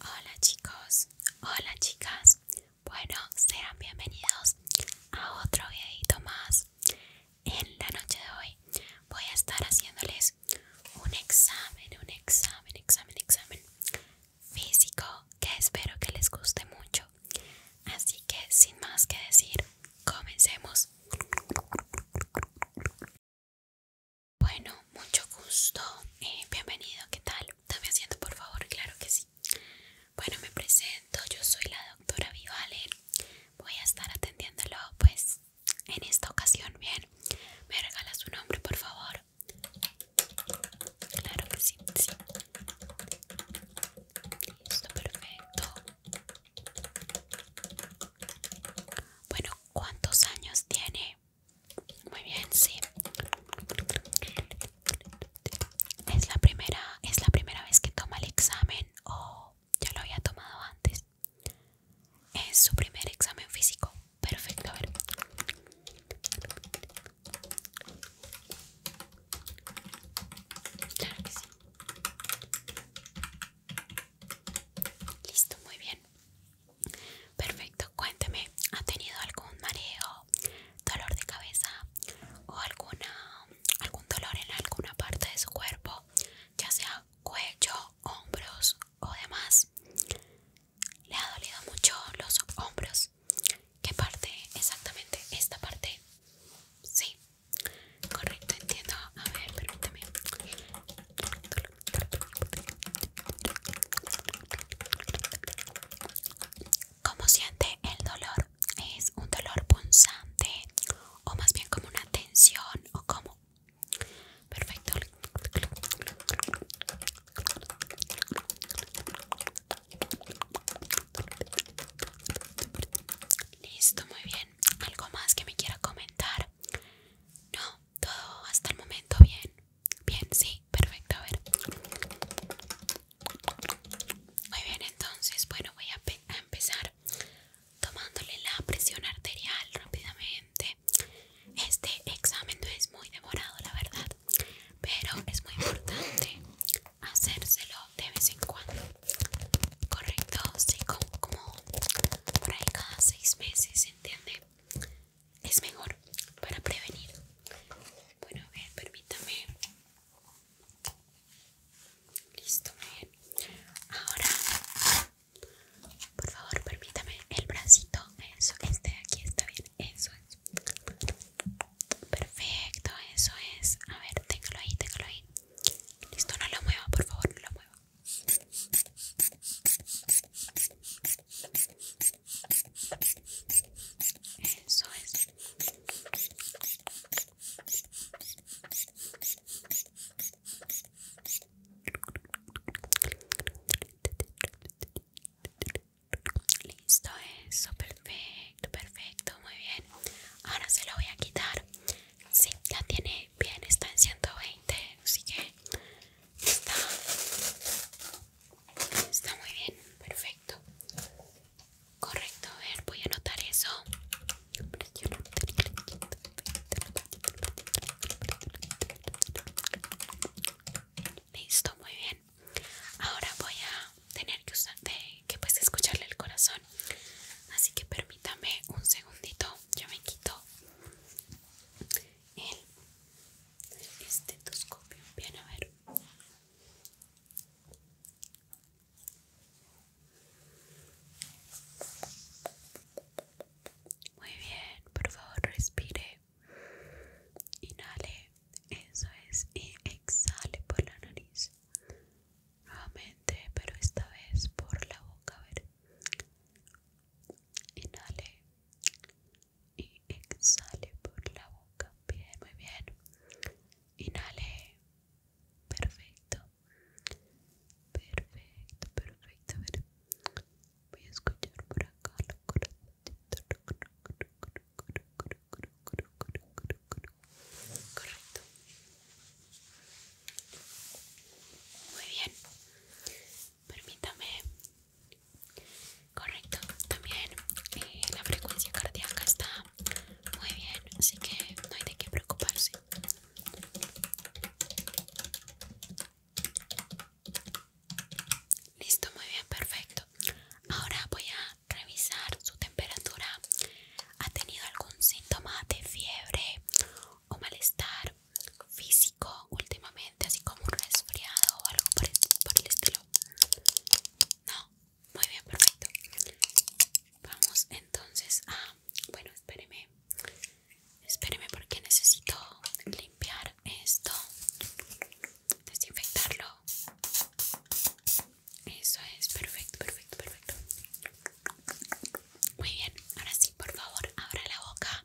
Hola chicos, hola chicas, bueno sean bienvenidos a otro videito más. En la noche de hoy voy a estar haciéndoles un examen, un examen, examen, examen físico que espero que les guste mucho. Así que sin más que decir, comencemos. Bueno, mucho gusto. Eh, bienvenido, ¿qué tal? Dame haciendo? por favor, claro que sí. Bueno, me presento, yo soy la doctora Vivalen. Voy a estar atendiéndolo, pues, en esta ocasión, bien. ¿Me regala su nombre, por favor? Claro que sí, sí. Listo, perfecto. Bueno, ¿cuántos años tiene? Muy bien, sí. Es la primera, es la primera vez que toma el examen o ya lo había tomado antes. Es su primer examen físico. Perfecto, a ver. Claro Listo, muy bien. Perfecto, cuénteme, ¿ha tenido algún mareo, dolor de cabeza o alguna, algún dolor en alguna parte de su cuerpo, ya sea cuello, hombros o demás? ¿Le ha dolido mucho los hombros? ¿Qué parte exactamente? ¿Esta parte? Sí, correcto, entiendo. A ver, permítame. ¿Cómo siente el dolor? ¿Es un dolor punzante o más bien como una tensión o como? Perfecto. Listo, muy bien. ¿Algo más que me quiera comentar? No, todo hasta el momento bien. Bien, sí, perfecto, a ver. Muy bien, entonces, bueno, voy a, empezar tomándole la presión arterial rápidamente. Este examen no es muy demorado, la verdad, pero es muy importante hacérselo de vez en cuando. Correcto, sí, como, por ahí cada seis meses, ¿entiende? es mejor para prevenir. Bueno, a ver, permítame. Listo, bien. Ahora, por favor, permítame el bracito. Eso, este de aquí está bien. Eso es. Perfecto, eso es. A ver, téngalo ahí, téngalo ahí. Listo, no lo mueva, por favor, no lo mueva. Listo, eso, perfecto, perfecto, muy bien. Ahora se lo voy a quitar. Sí, ya tiene bien, está en 120, así que está Está muy bien, perfecto. Correcto, a ver, voy a anotar eso. Listo, muy bien. Ahora voy a tener que usar que pues escucharle el corazón. Así que permítame un segundito. Ya me quito el el estetoscopio. Bien, a ver. Muy bien, por favor respire. Inhale, eso es, y exhale por la nariz. Nuevamente, pero esta vez por la boca, a ver inhale y exhale por la boca bien muy bien inhale perfecto perfecto perfecto voy a escuchar por acá correcto muy bien permítame Correcto, también eh, la frecuencia cardíaca está muy bien, así que no hay de qué preocuparse. Listo, muy bien, perfecto. Ahora voy a revisar su temperatura. ¿Ha tenido algún síntoma de fiebre o malestar físico últimamente, así como un resfriado o algo por el, estilo. No, muy bien, perfecto. Vamos entonces a. Bueno, espéreme. Espéreme porque necesito limpiar esto, desinfectarlo. Eso es, perfecto, perfecto, perfecto. Muy bien, ahora sí, por favor, abra la boca.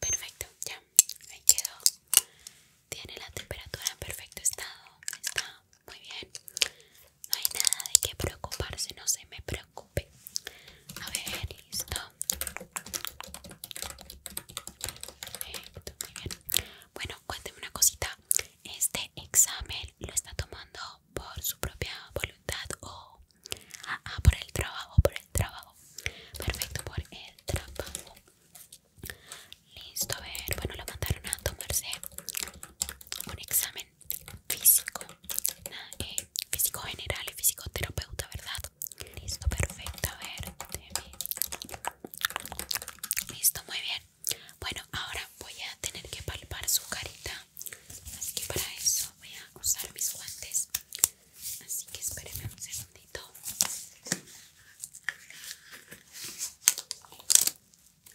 Perfecto, ya, ahí quedó. Tiene la temperatura en perfecto estado. Está muy bien. No hay nada de qué preocuparse, no se me preocupe. A ver, listo. Perfecto, muy bien. Bueno, cuénteme una cosita. ¿Este examen lo está tomando por su propia voluntad o Ah, por el trabajo, por el trabajo. Perfecto, por el trabajo. Listo, a ver, bueno, la mandaron a tomarse un examen físico, eh, físico general y fisioterapeuta, ¿verdad? Listo, perfecto, a ver, Listo, muy bien. Bueno, ahora voy a tener que palpar su carita, así que para eso voy a usar mis guantes. Así que espérenme un segundito.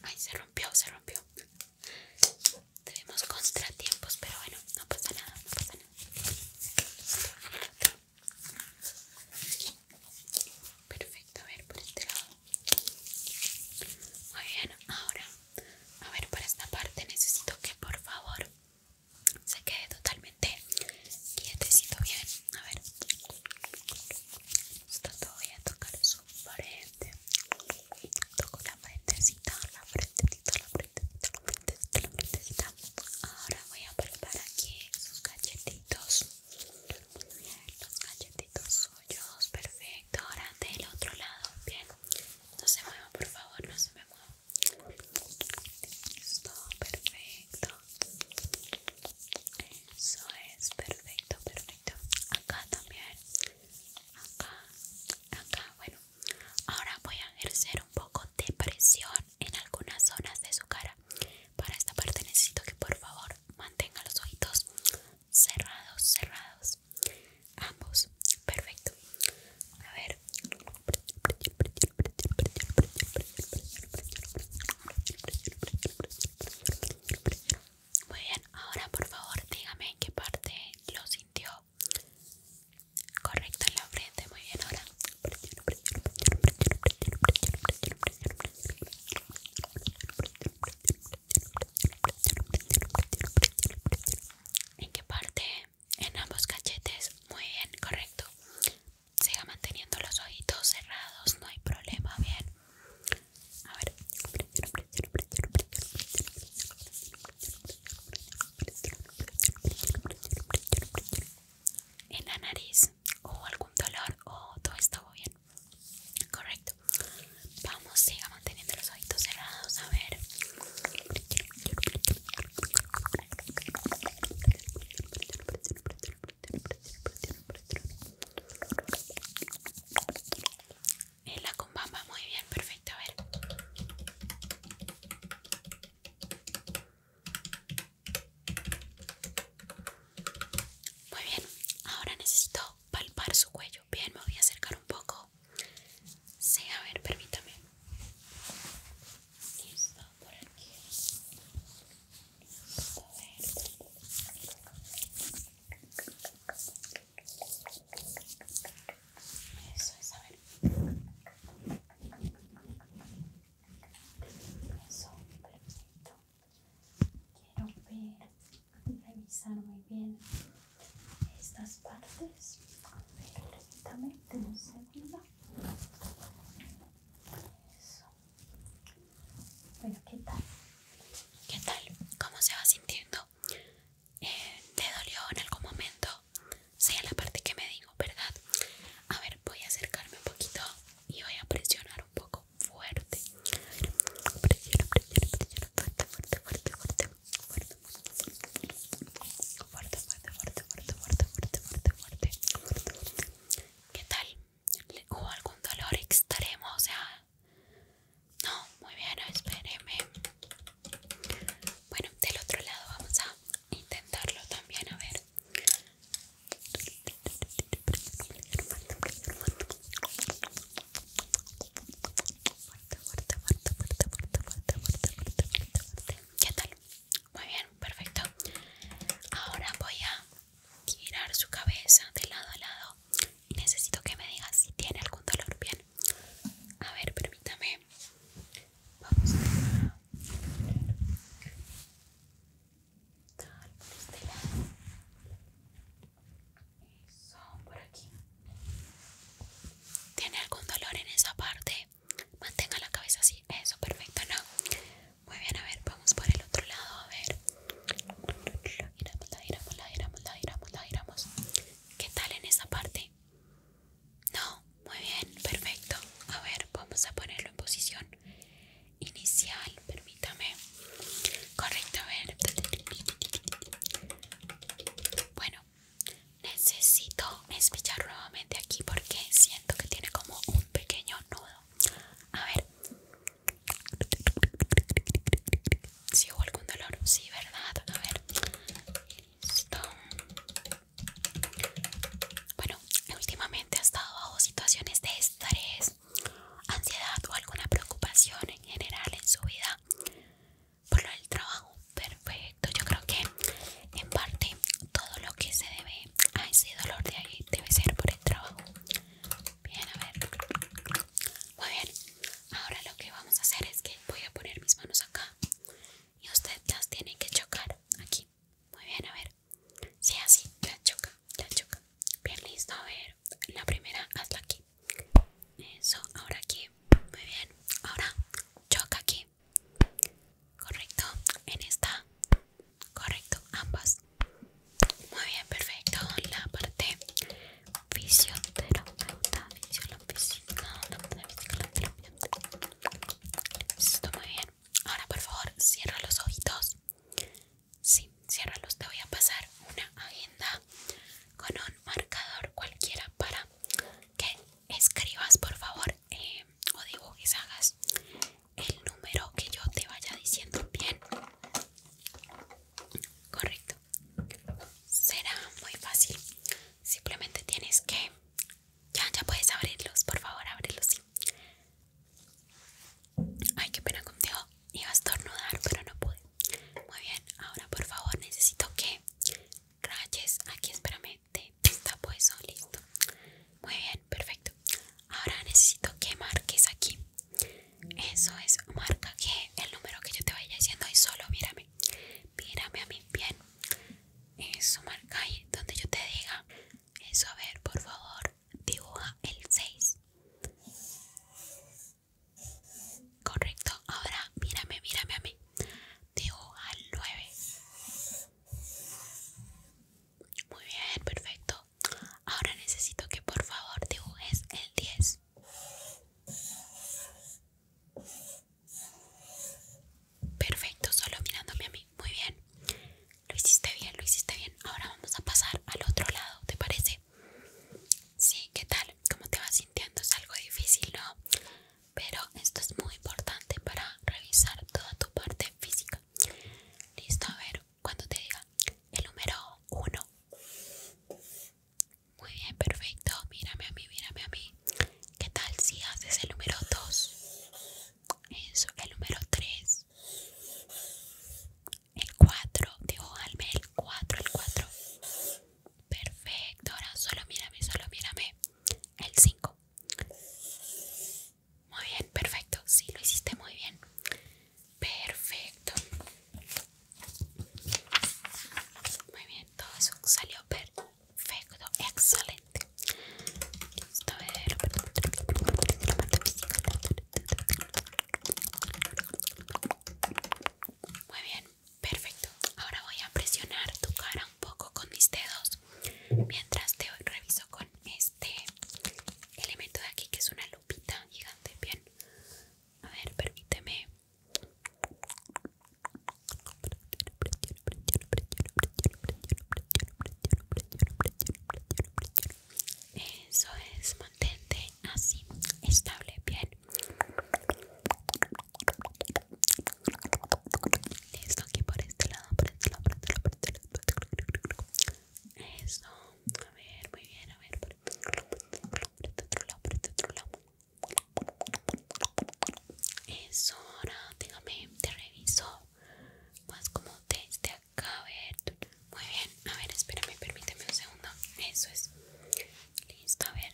Ay, se rompió, se rompió. Tenemos contratiempos, pero bueno, no pasa nada, no pasa nada. Perfecto, a ver por este lado. Muy bien, ahora, a ver, para esta parte necesito que por favor se quede totalmente quietecito bien. A ver, está voy a tocar su frente. Toco la frentecita, la frentecita, la frentecita, la frentecita, la Ahora voy a preparar aquí sus galletitos. Los galletitos suyos, perfecto. Ahora del otro lado, bien. No se mueva, por favor, no se me mueva perfecto. Eso es, perfecto, perfecto. Acá también. Acá, acá. Bueno, ahora voy a ejercer un poco de presión en algunas zonas de su cara. Para esta parte necesito que por favor mantenga los ojitos cerrados, cerrados. Ambos, perfecto. A ver. Muy bien, ahora por favor dígame en qué parte lo sintió. Correcto en la frente, muy bien ahora. ¿En qué parte en ambos cachetes. Muy bien, correcto. Siga manteniendo los ojitos cerrados, no hay problema. Bien. A ver. En la nariz o algún dolor o todo está bien. Correcto. Vamos, siga manteniendo los ojitos cerrados. A ver. En la combamba, muy bien, perfecto, a ver. Muy bien, ahora necesito palpar su cuello. Bien, me voy a acercar un poco. Sí, a ver, permítame. por aquí. a ver. Eso es, a ver. Eso, Quiero ver, revisar muy bien estas partes. ver, permítame un segundo. Eso. Bueno, ¿qué tal? ¿Qué tal? ¿Cómo se va sintiendo? Eh, ¿Te dolió en algún momento? sea la parte que me digo, ¿verdad? A ver, voy a acercarme un poquito y voy a presionar un poco fuerte. presiono presiono presiono fuerte, fuerte, fuerte fuerte, fuerte, fuerte, fuerte, fuerte, fuerte, fuerte, fuerte, fuerte. ¿Qué tal? ¿Hubo algún dolor extremo? O sea, no, muy bien, espéreme. Bueno, del otro lado vamos a intentarlo también, a ver fuerte, fuerte, fuerte, fuerte, fuerte, fuerte, fuerte, fuerte, fuerte, ¿Qué tal? Muy bien, perfecto. Ahora voy a girar su cabeza de lado a lado y necesito que me digas si tiene algún dolor. Bien. A ver, permítame. Vamos a Tal, por este lado. Eso, por aquí. ¿Tiene algún dolor en esa parte? Mantenga la cabeza así, eso, perfecto, ¿no? Muy bien, a ver, vamos por el otro lado, a ver Giramos, la giramos, la giramos, la giramos, la giramos ¿Qué tal en esa parte? No, muy bien, perfecto A ver, vamos a ponerlo en posición inicial, permítame Correcto, a ver Bueno, necesito espichar nuevamente aquí porque siento que tiene como un pequeño nudo a ver si hubo algún dolor sí verdad a ver listo bueno últimamente ha estado bajo situaciones de estrés ansiedad o alguna preocupación en general en su vida por el trabajo. Perfecto, yo creo que en parte todo lo que se debe a ese dolor de ahí debe ser por el trabajo. Bien, a ver. Muy bien, ahora lo que vamos a hacer es que voy a poner mis manos acá y usted las tiene que chocar aquí. Muy bien, a ver. Si sí, así, la choca, la choca. Bien, listo, a ver. La primera, hazla aquí. Eso, ahora aquí. Muy bien, ahora choca aquí. Correcto, en esta. Correcto, ambas. Muy bien, perfecto. La parte fisioterapeuta, Esto, muy bien. Ahora, por favor, cierra los ojitos. Sí, ciérralos. Te voy a pasar una agenda con un marcador cualquiera para que escribas por favor em, o dibujes, hagas el número que yo te vaya diciendo bien. Correcto. Será muy fácil. Simplemente tienes que... Ya, ya puedes abrirlos, por favor, ábrelos, sí. Ay, qué pena contigo. Iba a estornudar, pero no pude. Muy bien, ahora por favor necesito que rayes aquí espérame, te está eso, pues, oh, listo Muy bien, perfecto Ahora necesito que marques aquí Eso es, marca que el número que yo te vaya haciendo Y solo mírame, mírame a mí, bien Eso, marca ahí donde yo te diga Eso, a ver, por favor, dibuja el 6 Correcto, ahora mírame, mírame a mí teo al 9. Muy bien, perfecto. Ahora necesito que por favor dibujes el 10. Perfecto, solo mirándome a mí. Muy bien. Lo hiciste bien, lo hiciste bien. Ahora vamos a pasar al otro lado, ¿te parece? Sí, ¿qué tal? ¿Cómo te vas sintiendo? Es algo difícil, ¿no? pero esto es muy importante para revisar toda tu parte física. Listo, a ver, cuando te diga el número 1. Muy bien, perfecto. Mírame a mí, mírame a mí. ¿Qué tal si haces el número 2? Eso, el número 3. El 4, digo, alme el 4, el 4. Perfecto, ahora solo mírame, solo mírame. El 5. Muy bien, perfecto. Sí, lo hiciste muy bien. Perfecto. Muy bien, todo eso salió perfecto. Excelente. Muy bien. Perfecto. Ahora voy a presionar tu cara un poco con mis dedos mientras te reviso con este elemento de aquí que es una lupita gigante. Bien. A ver, permíteme. Eso es, mantente así, estable, bien. Listo, aquí este este este por este lado, por este lado, por este lado, Eso, a ver, muy bien, a ver, Eso, ahora déjame, te reviso más como desde acá, a ver. Muy bien, a ver, espérame, permíteme un segundo. Eso es. Listo, a ver.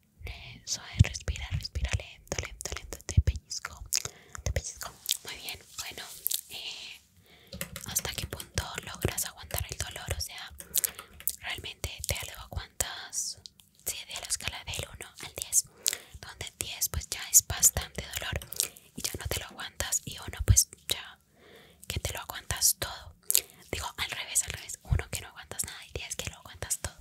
Eso es, respira, respira lento, lento, lento, te pellizco, te pellizco. Muy bien, bueno, eh, ¿hasta qué punto logras aguantar el dolor? O sea, realmente te lo aguantas, sí, de la escala del 1 al 10, donde 10 pues ya es bastante dolor y ya no te lo aguantas y 1 pues ya que te lo aguantas todo. Digo, al revés, al revés, 1 que no aguantas nada y 10 que lo aguantas todo.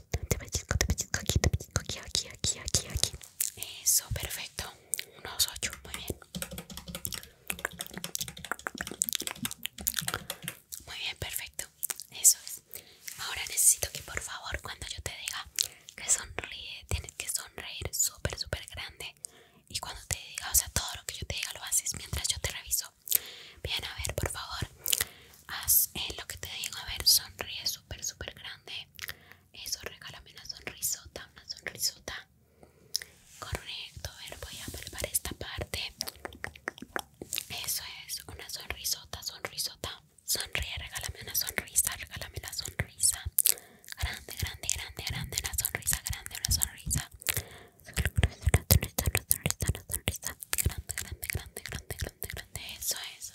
te te aquí, te aquí, aquí, aquí, aquí. Eso, perfecto. Unos ocho, muy bien. Muy bien, perfecto. Eso es. Ahora necesito que por favor cuando yo te diga que sonríe, tienes que sonreír súper, súper grande. Y cuando te diga, o sea, todo lo que yo te diga lo haces mientras yo te reviso. Bien, a ver, por favor haz eh, lo que te digo, a ver, sonríe súper, súper grande. Eso, regálame una sonrisota, una sonrisota. Correcto, a ver, voy a preparar esta parte. Eso es, una sonrisota, sonrisota. Sonríe, regálame una sonrisa, regálame una sonrisa. Grande, grande, grande, grande, una sonrisa, grande, una sonrisa. Grande, grande, grande, grande, grande, grande, grande. Eso es,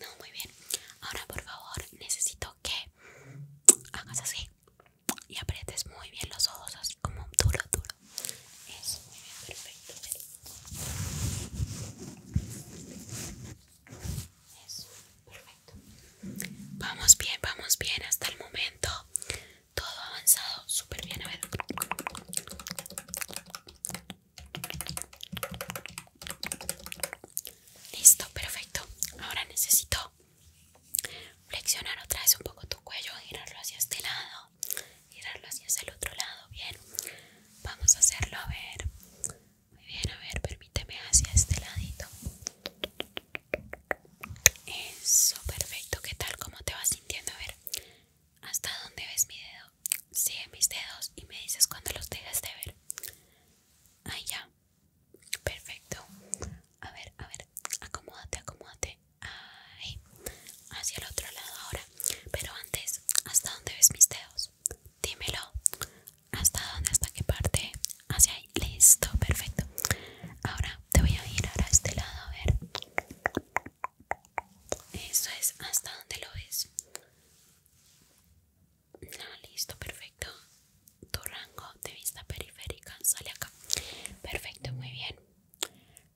No, muy bien. Ahora, por favor, necesito que hagas así y aprietes muy bien los ojos, así como duro, duro. Eso, muy bien, perfecto. Eso, perfecto. Vamos bien, vamos bien hasta el momento. Todo avanzado, súper bien. A ver. Listo, perfecto. Ahora necesito flexionar otra vez un poco tu cuello, girarlo hacia este lado, girarlo hacia el otro lado. Bien, vamos a hacerlo. A ver, muy bien, a ver, permíteme hacia este ladito. Eso, perfecto. ¿Qué tal? ¿Cómo te vas sintiendo? A ver, ¿hasta dónde ves mi dedo? Sigue mis dedos y me dices cuando los dejes de ver. Ahí ya. Perfecto. A ver, a ver. Acomódate, acomódate. Ahí. Hacia el otro lado ahora. Pero antes, ¿hasta dónde ves mis dedos? Dímelo. ¿Hasta dónde? ¿Hasta qué parte? Hacia ahí. Listo, perfecto. Ahora te voy a ir a este lado. A ver. Eso es. ¿Hasta dónde lo ves? Ah, listo, perfecto. Tu rango de vista periférica sale acá. Perfecto, muy bien.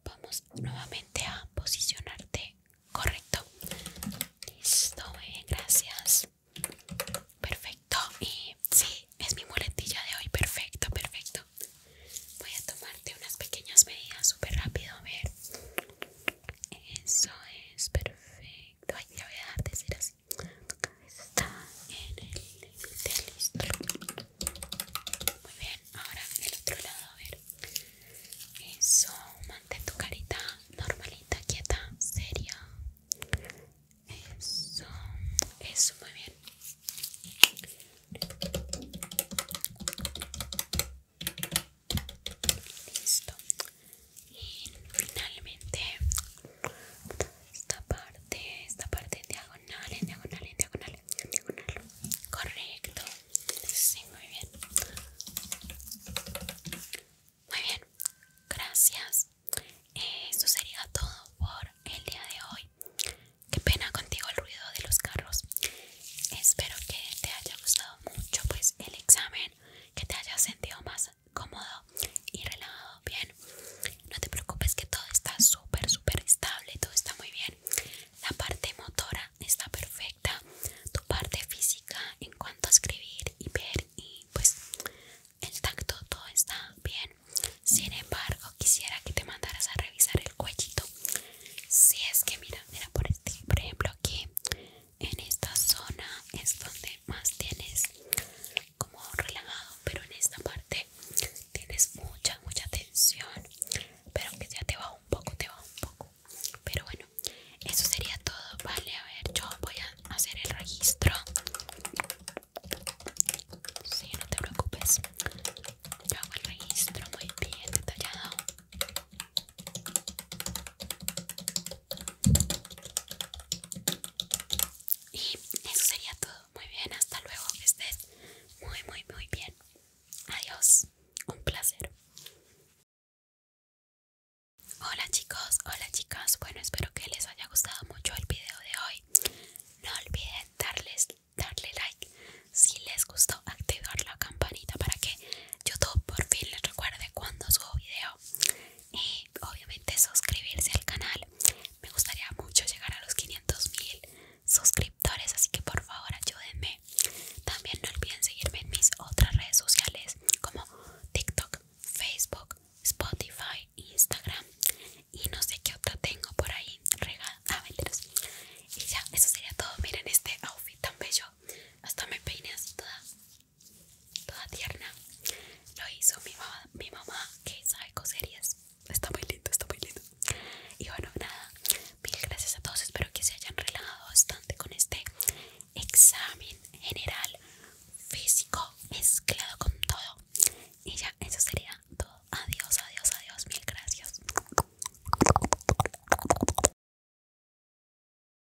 Vamos nuevamente a posicionarte correcto. Listo, gracias. Perfecto. Y sí, es mi muletilla de hoy. Perfecto, perfecto. Voy a tomarte unas pequeñas medidas súper rápido. A ver. Eso es perfecto ya voy a dejar así. Tu cabeza está en el límite, listo. Muy bien, ahora el otro lado, a ver. Eso, mantén tu carita normalita, quieta, seria. Eso, eso, muy bien. Listo. Y finalmente esta parte, esta parte diagonal, en diagonal, en diagonal, diagonal. Correcto. Sí, muy bien. Muy bien. Gracias. Esto sería todo por el día de hoy. Qué pena contigo el ruido de los carros. Espero que te haya gustado mucho pues el examen, que te haya sentido más cómodo y relajado, bien. No te preocupes que todo está súper, súper estable, todo está muy bien. La parte motora está perfecta, tu parte física en cuanto a escribir y ver y pues el tacto todo está bien. Sin embargo, quisiera que te mandaras a revisar el cuellito. Si es que mira, mira por este, por ejemplo aquí en esta zona es donde más tienes como relajado pero en esta parte tienes mucha mucha tensión pero que ya te va un poco te va un poco pero bueno eso sería todo vale a ver yo voy a hacer el registro Sí, no te preocupes. Yo hago el registro muy bien detallado. Y eso sería todo. Muy bien, hasta luego. Que estés muy, muy, muy bien. Adiós. Un placer. Hola chicos, hola chicas. Bueno, espero que les haya gustado mucho el video de hoy. No olviden darles, darle like. Si les gustó, activar la campanita para que YouTube por fin les recuerde cuando subo video y eh, obviamente suscribirse al canal. Me gustaría mucho llegar a los 500 mil suscriptores, así que por favor ayúdenme. También no olviden seguirme en mis otras redes sociales como TikTok, Facebook, Spotify, Instagram y no sé qué otra tengo por ahí regada. Ah, y ya, eso sería todo. Miren este outfit tan bello. Hasta me peiné así toda toda tierna lo hizo mi mamá, mi mamá que sabe coserías está muy lindo, está muy lindo y bueno nada, mil gracias a todos, espero que se hayan relajado bastante con este examen general físico mezclado con todo y ya eso sería todo, adiós, adiós, adiós, mil gracias